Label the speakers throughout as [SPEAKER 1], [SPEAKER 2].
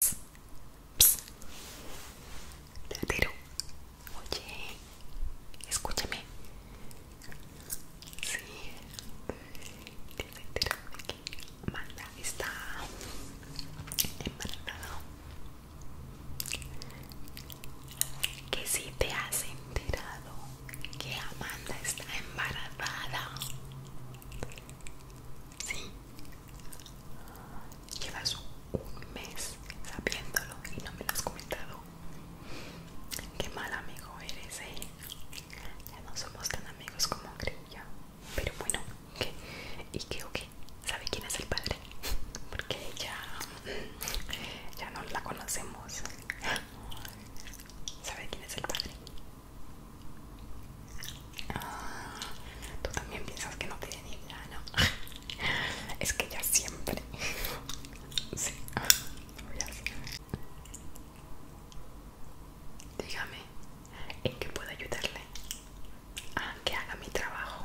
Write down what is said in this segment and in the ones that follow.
[SPEAKER 1] Te pss. oye, escúchame. Sí, te enterado de que Amanda está embarazada Que si te has enterado que Amanda está embarazada. Sí. Llevas un mes sabiéndolo y no me lo has comentado. Qué mal amigo eres, eh. Ya no somos tan amigos como creía. Pero bueno, ¿qué? ¿Y qué o qué? ¿Sabe quién es el padre? Porque ya. ya no la conocemos. ¿Sabe quién es el padre? Ah, tú también piensas que no tiene ni ¿no? es que ya siempre. sí, Dígame, ¿en qué puedo ayudarle? a ah, que haga mi trabajo.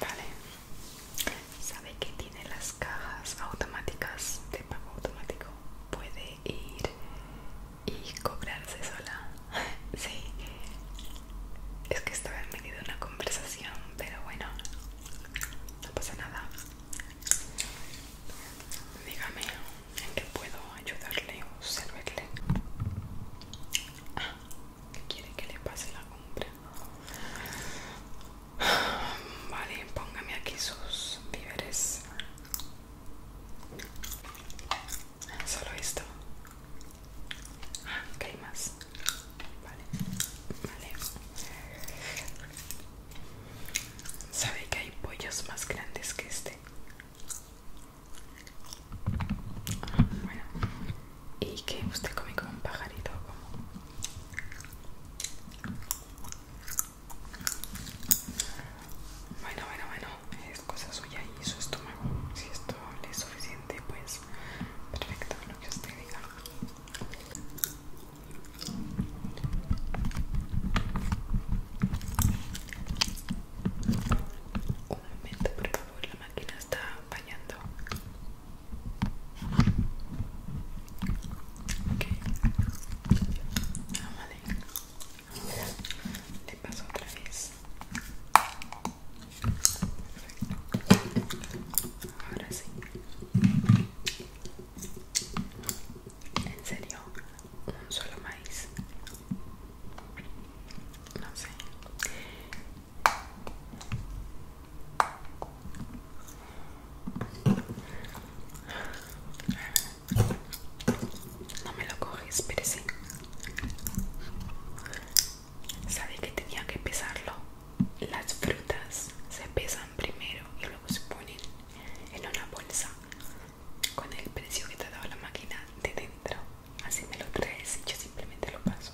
[SPEAKER 1] Vale. ¿Sabe que tiene las cajas automáticas de pago automático? Puede ir y cobrarse sola. sí, es que estaba en medio de una conversación, pero bueno, no pasa nada. Dígame en qué puedo ayudarle o servirle. Ah, quiere que le pase la compra? Vale, póngame aquí sus víveres. Solo esto. Ah, hay más. Vale, vale. ¿Sabe que hay pollos más grandes que este? bueno. ¿Y que usted come como un pajarito? Como? Bueno, bueno, bueno, es cosa suya y su estómago. Si esto le es suficiente, pues perfecto, lo que usted diga. Un momento, por favor, la máquina está bañando. Ok. Ah, vale. Te paso otra vez Perfecto. ahora sí en serio un solo maíz no sé no me lo coges, pero sí, ¿sabes que tenía que pesarlo. Las frutas se pesan primero y luego se ponen en una bolsa con el precio que te ha dado la máquina de dentro. Así me lo traes y yo simplemente lo paso.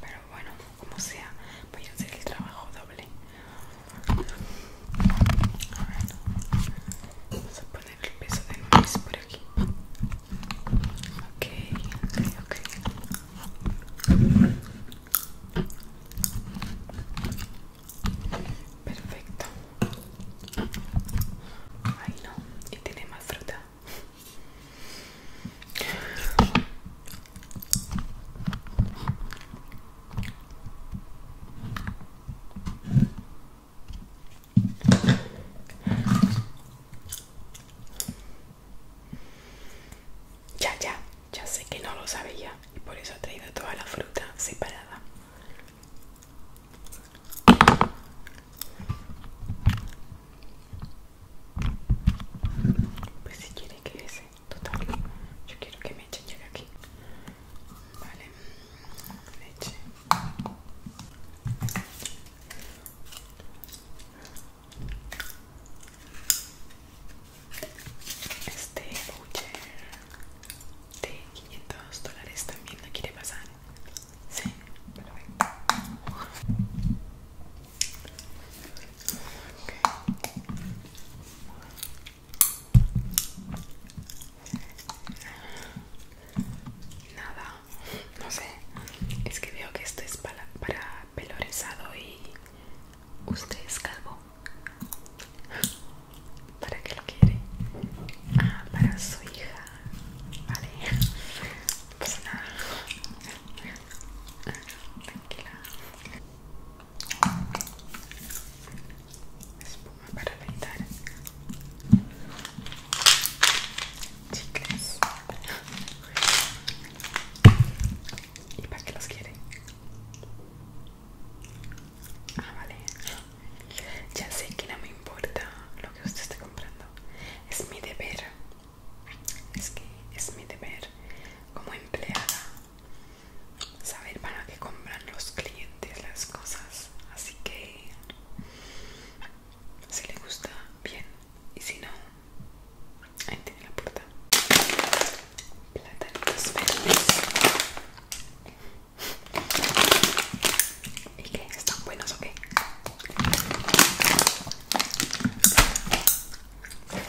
[SPEAKER 1] Pero bueno, como sea, voy a hacer el trabajo doble vamos a poner el peso de mes por aquí. Ok, ok, ok. Perfecto. Ay no, y tiene más fruta. Ya, ya, ya sé que no lo sabía y por eso ha traído toda la fruta separada. Pues si quiere que total yo quiero que me echen llegue aquí vale leche este voucher de 500 dólares también la quiere pasar sí pero Nada, no sé. Es que veo que esto es para, para pelo y usted es calvo. ¿Para qué lo quiere? Ah, para su hija. Vale. Pues nada. Tranquila espuma para afeitar chicas y para que los quieren ah vale ya sé que no me importa lo que usted esté comprando es mi deber es que es mi deber como empleada saber para qué compran los clientes las cosas así que si le gusta bien y si no ahí tiene la puerta platanitos verdes y que están buenos o en fin,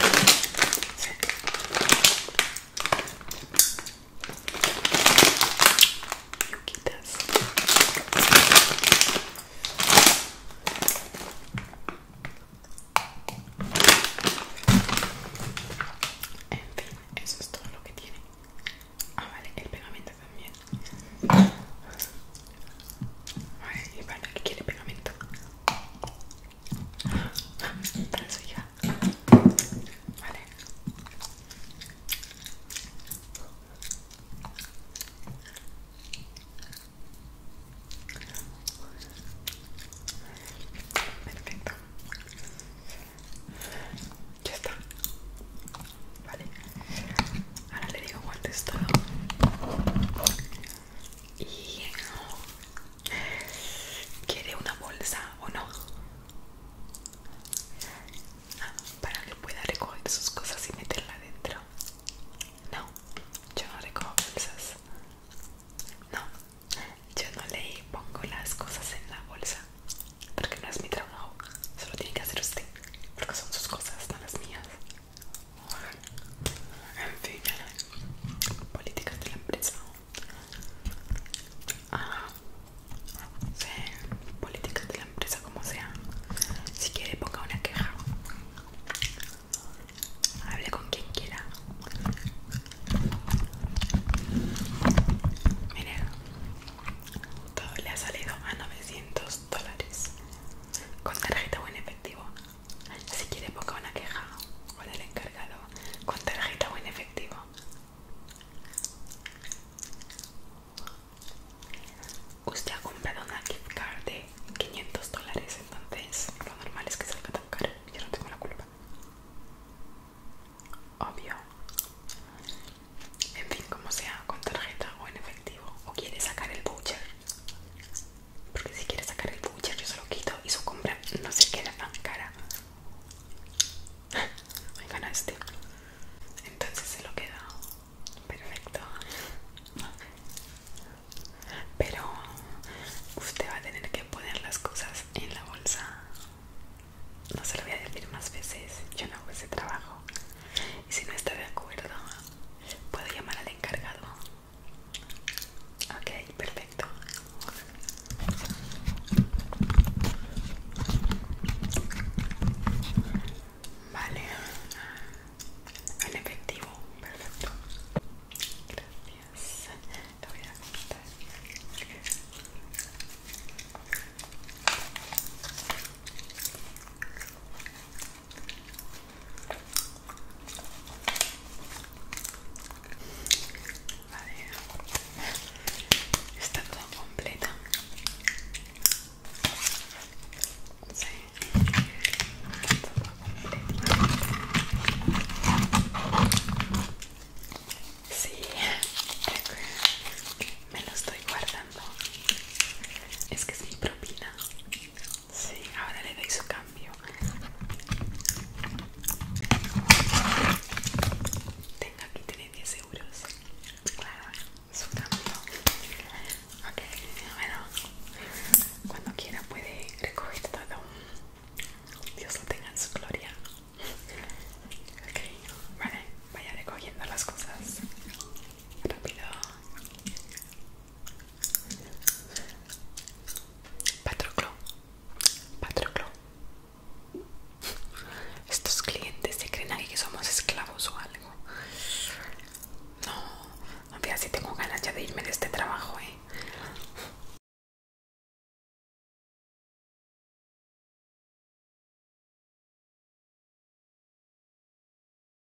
[SPEAKER 1] eso es todo lo que tiene. Ah, vale, el pegamento también. Ay, vale, que quiere pegamento? para su hija. Vale. Perfecto. Ya está. Vale. Ahora le digo guantes todo. Y ¿Quiere una bolsa o no? Ah, para que pueda recoger sus cosas y meterla dentro. No, yo no recojo bolsas. No, yo no le pongo las cosas en la bolsa. Porque no es mi trabajo. Solo tiene que hacer usted. Porque son sus cosas, no las mías. En fin, políticas de la empresa. Ah, sí, políticas de la empresa como sea. Si quiere ponga una queja. Hable con quien quiera. Mire, todo le ha salido a 900 dólares. Con tarjeta o en efectivo. Si quiere ponga una queja con el encargado con tarjeta o en efectivo. Usted ha comprado una gift card de 500 dólares, entonces lo normal es que salga a tocar, Yo no tengo la culpa. Obvio. En fin, como sea, con tarjeta o en efectivo. O quiere sacar el voucher. Porque si quiere sacar el voucher yo se lo quito y su compra no se queda tan cara. ganaste. Entonces se lo queda. Perfecto. Pero usted va a tener que poner las cosas en la bolsa. No se lo voy a decir más veces. Yo no hago ese trabajo. Y si no está de acuerdo, puedo llamar al encargado. Okay, perfecto. Vale. En efectivo, perfecto. Gracias. Te voy a Está todo completo. Sí. Me lo estoy guardando. Es que es mi propina. Sí, ahora le doy su cambio. Tenga aquí tiene 10 euros. Claro, su cambio. Ok, bueno. Cuando quiera puede recoger todo. Dios lo tenga en su gloria. Ok, vale, vaya recogiendo las cosas. Rápido. Patroclo, Patroclo. Estos clientes se creen aquí que somos esclavos o algo. No, no sé si tengo ganas ya de irme de este trabajo, eh.